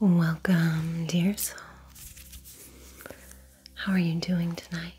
Welcome, dear soul. How are you doing tonight?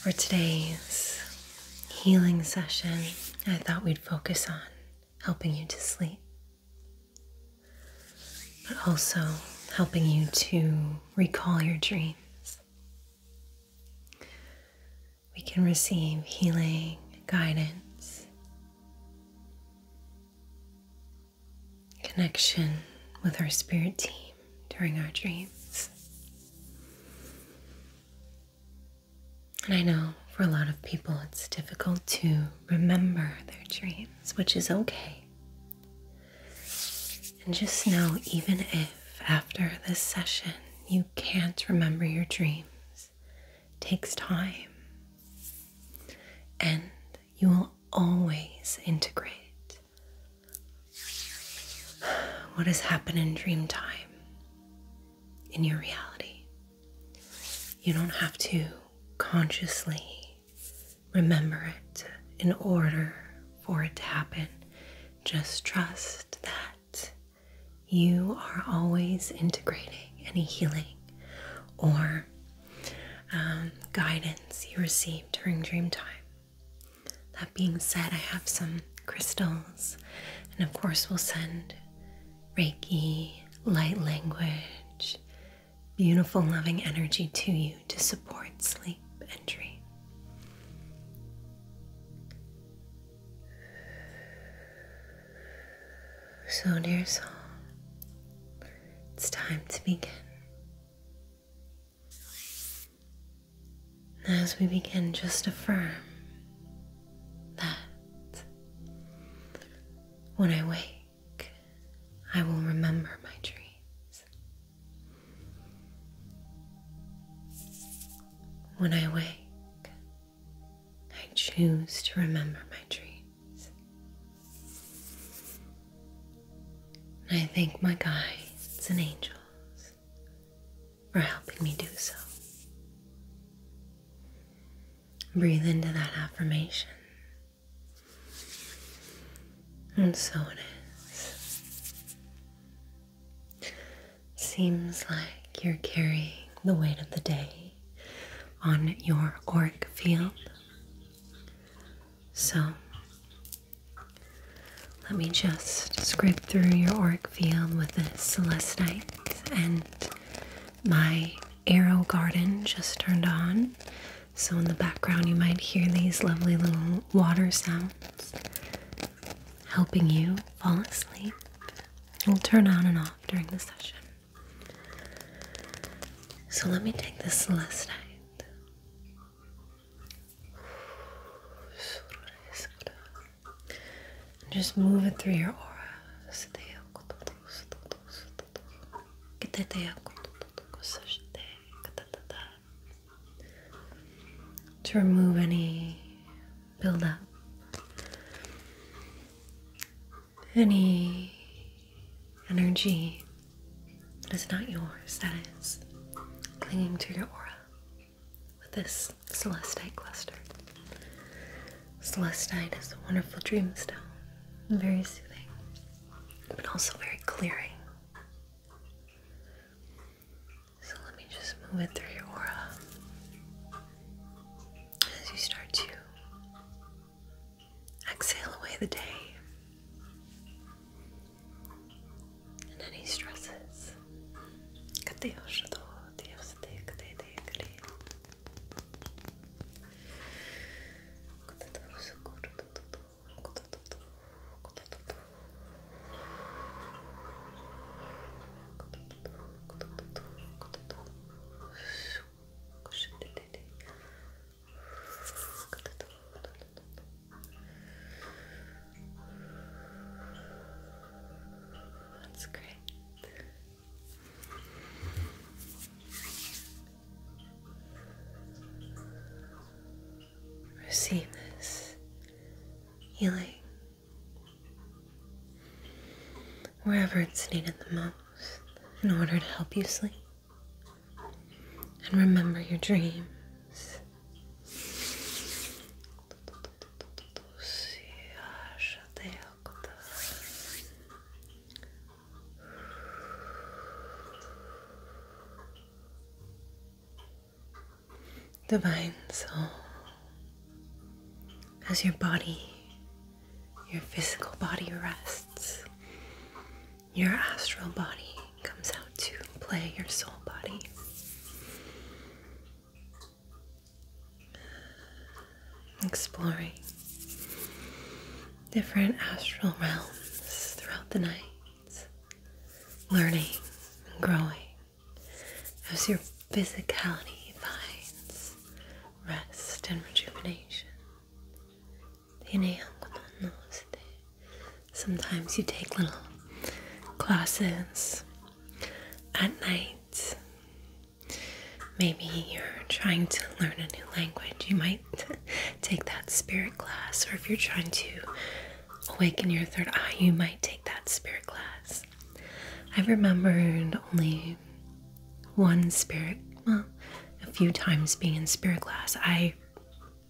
For today's healing session, I thought we'd focus on helping you to sleep, but also helping you to recall your dreams we can receive healing guidance, connection with our spirit team during our dreams. And I know for a lot of people it's difficult to remember their dreams, which is okay. And just know, even if after this session you can't remember your dream takes time, and you will always integrate what has happened in dream time in your reality. You don't have to consciously remember it in order for it to happen. Just trust that you are always integrating any healing or um, guidance you receive during dream time. That being said, I have some crystals, and of course, we'll send Reiki, light language, beautiful, loving energy to you to support sleep and dream. So, dear soul, it's time to begin. As we begin, just affirm that when I wake, I will remember my dreams. When I wake, I choose to remember my dreams. And I thank my guides and angels for helping me do so. Breathe into that affirmation. And so it is. Seems like you're carrying the weight of the day on your auric field. So let me just scrape through your auric field with a celestite and my arrow garden just turned on. So in the background you might hear these lovely little water sounds helping you fall asleep. It'll turn on and off during the session. So let me take this last night. just move it through your aura. To remove any build up any energy that is not yours, that is clinging to your aura with this celestite cluster. Celestite is a wonderful dream dreamstone, very soothing, but also very clearing. So let me just move it through your aura as you start to exhale away the day and any stresses. That's great. Receive this healing wherever it's needed the most in order to help you sleep and remember your dreams divine soul, as your body, your physical body rests, your astral body comes out to play your soul body. Exploring different astral realms throughout the night, learning and growing as your physicality finds rest and rejuvenation. Sometimes you take little classes at night. Maybe you're trying to learn a new language. You might take that spirit class, or if you're trying to awaken your third eye, you might take that spirit class. I remembered only one spirit, well, a few times being in spirit class. I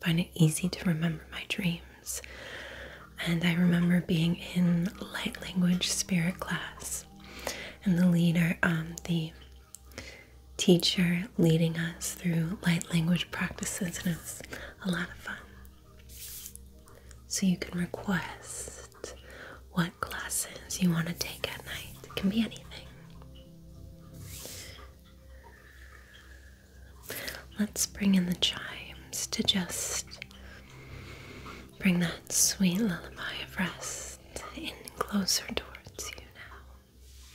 find it easy to remember my dreams. And I remember being in light language spirit class and the leader, um, the teacher leading us through light language practices, and it was a lot of fun. So you can request what classes you want to take at night. It can be anything. Let's bring in the chimes to just bring that sweet lullaby of rest in closer towards you now.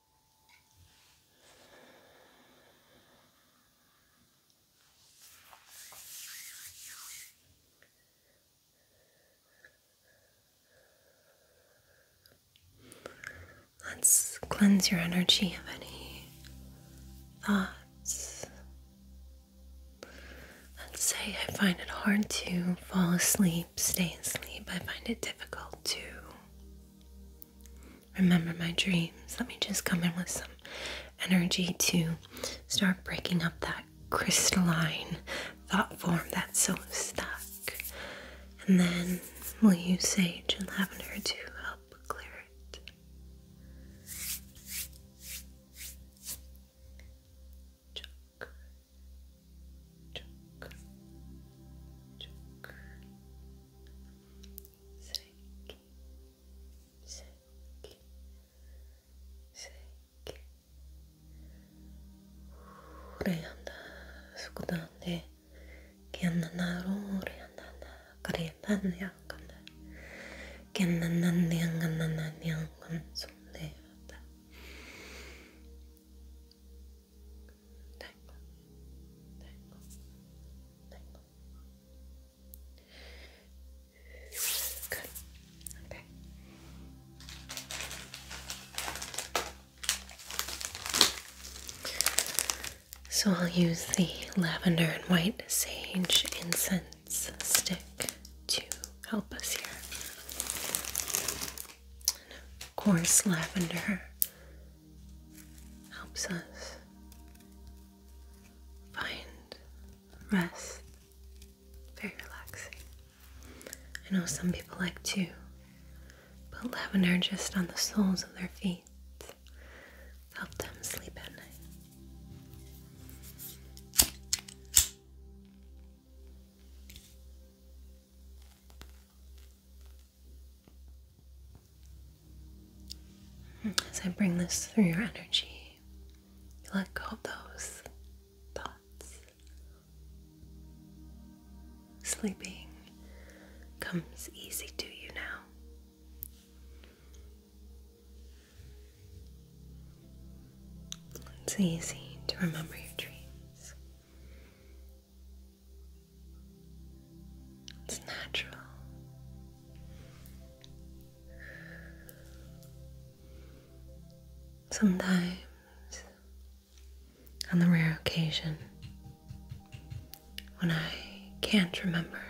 Let's cleanse your energy of any thoughts. Let's say I find it hard to fall asleep, stay asleep. I find it difficult to remember my dreams. Let me just come in with some energy to start breaking up that crystalline thought form that's so stuck. And then we'll use sage and lavender to help clear it shake, shake, shake. 오래 한다, 수고다네. 기억나나로 오래 한다, 그래 반야 간다. 기억나나네, 안간나나네, 안간 속내 왔다. 달콤, 달콤, 달콤. So I'll use the lavender and white sage incense stick to help us here. Coarse lavender helps us find rest very relaxing. I know some people like to put lavender just on the soles of their feet to help them sleep at night. As I bring this through your energy, you let go of those thoughts. Sleeping comes easy to you now. It's easy to remember your dreams. It's natural. Sometimes, on the rare occasion when I can't remember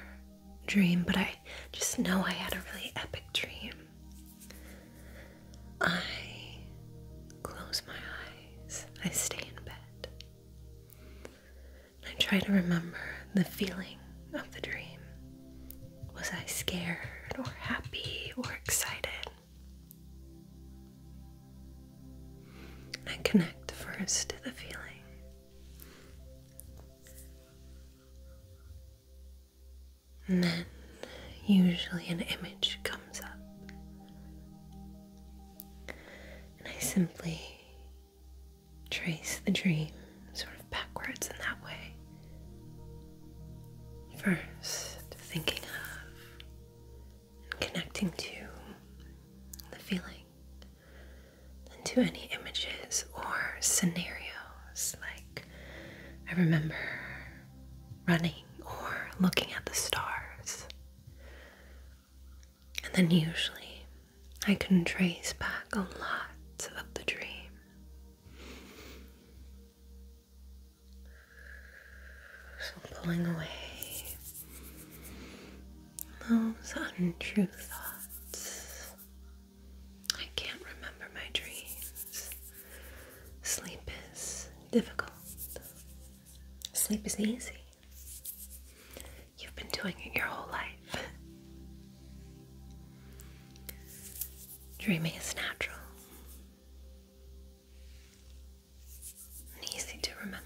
dream, but I just know I had a really epic dream, I close my eyes, I stay in bed, I try to remember the feeling of the dream. Was I scared or happy or excited? I connect first to the feeling. And then, usually, an image comes up. And I simply trace the dream sort of backwards in that way. First, thinking of and connecting to the feeling, and to any images or scenarios, like I remember running or looking at the stars, and then usually I can trace back a lot of the dream. So pulling away those untrue thoughts. I can't remember my dreams. Sleep is difficult. Sleep is easy. You've been doing it your whole life. Dreaming is natural and easy to remember.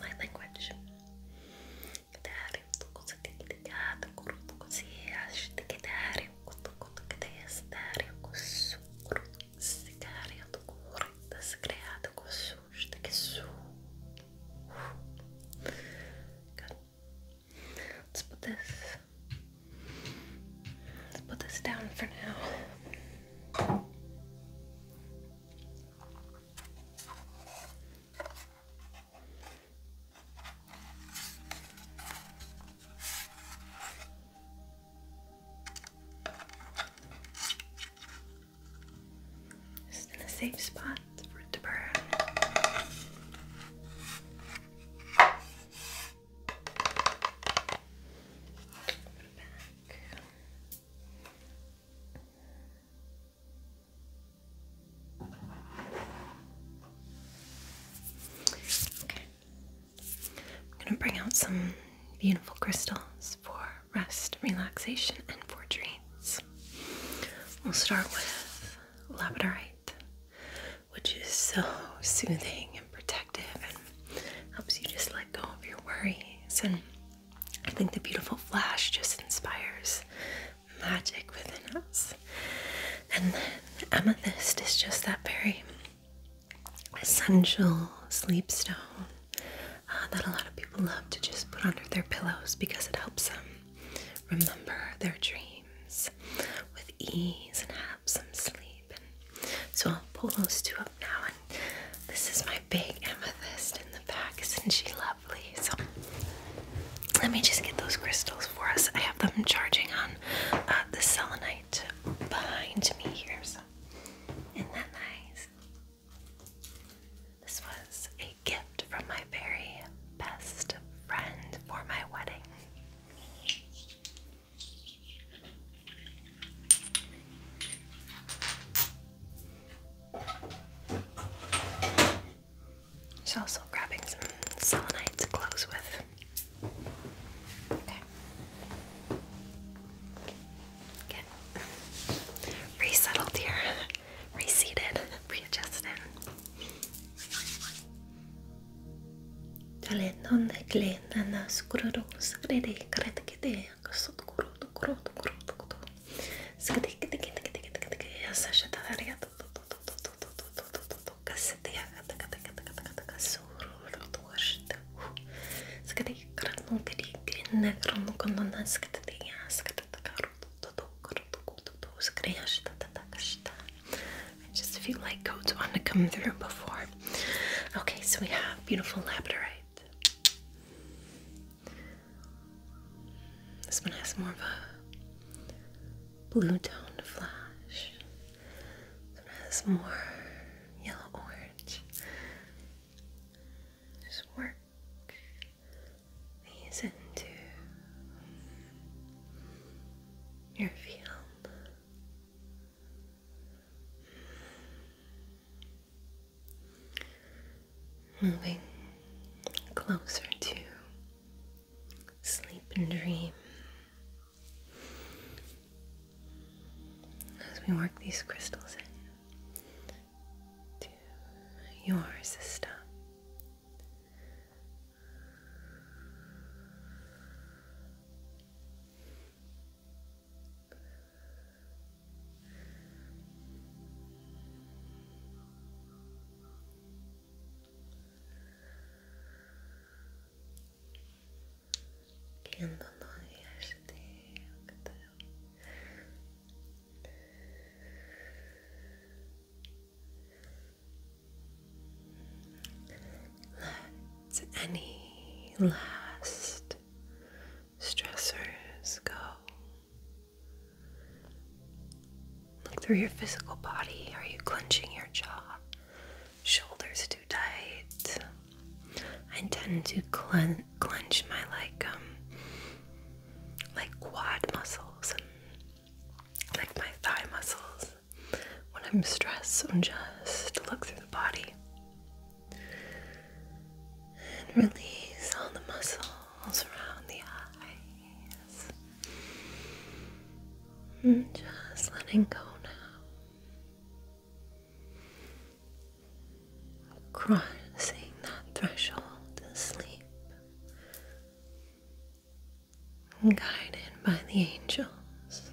light language. تعرف قصتي كده تقرط قصي عشت كده عارف قط قط كده يستعرف قص قرط السكاري تقرط السكاري تقص وشتكسو good let's put this let's put this down for now just in a safe spot for it to burn. I'm going to bring out some beautiful crystals for rest, relaxation, and for dreams. We'll start with labradorite, which is so soothing and protective and helps you just let go of your worries and I think the beautiful flash just inspires magic within us. And then amethyst is just that very essential sleep stone uh, that a lot of people love to just put under their pillows because it helps them remember their dreams with ease and have some sleep. so I'll pull those two up now this is my big amethyst in the back. Isn't she lovely? So let me just get those crystals for us. I have them charging on uh, the selenite behind me here. So not that nice? This was a gift from my very best friend for my wedding. She's also grabbing some selenite to close with. Okay. Get resettled here, reseated, readjusted. I just feel like codes want to come through before. Okay, so we have beautiful labradorite. This one has more of a blue toned flash. This one has more yellow orange. Just work these into your field. Moving closer to sleep and dream. As we work these crystals in to your system. Kendi onu let any last stressors go. Look through your physical body. Are you clenching your jaw? Shoulders too tight. I tend to clench my like um like quad muscles and like my thigh muscles when I'm stressed. So just look through the body. And release all the muscles around the eyes. just letting go now. Crossing that threshold to sleep. Guided by the angels.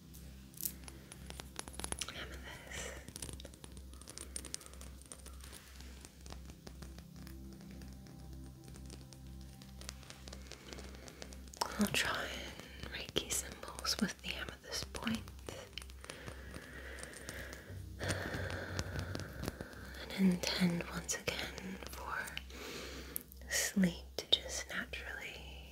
I'll try and Reiki symbols with the amethyst And intend once again for sleep to just naturally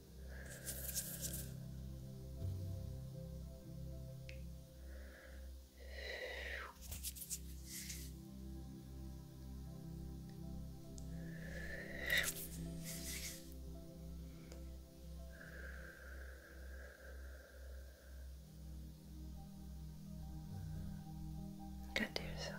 Good, dear soul.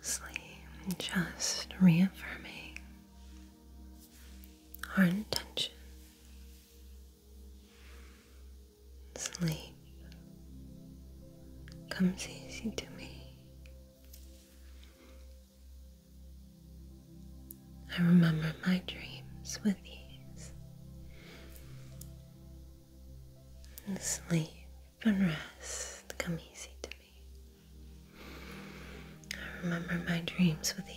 Lastly, just reaffirming our intention Sleep comes easy to me. I remember my dreams with ease. And sleep and rest come easy to me. I remember my dreams with ease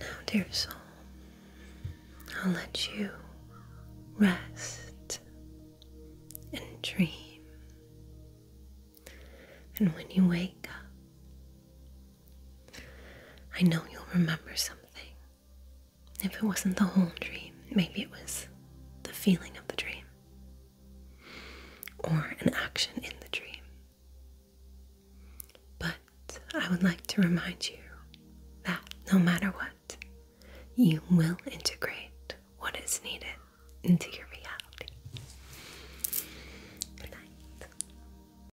now, dear soul, I'll let you rest and dream. And when you wake up, I know you'll remember something. If it wasn't the whole dream, maybe it was the feeling of the dream or an action in the dream. But I would like to remind you that no matter what, you will integrate what is needed into your reality. Good night.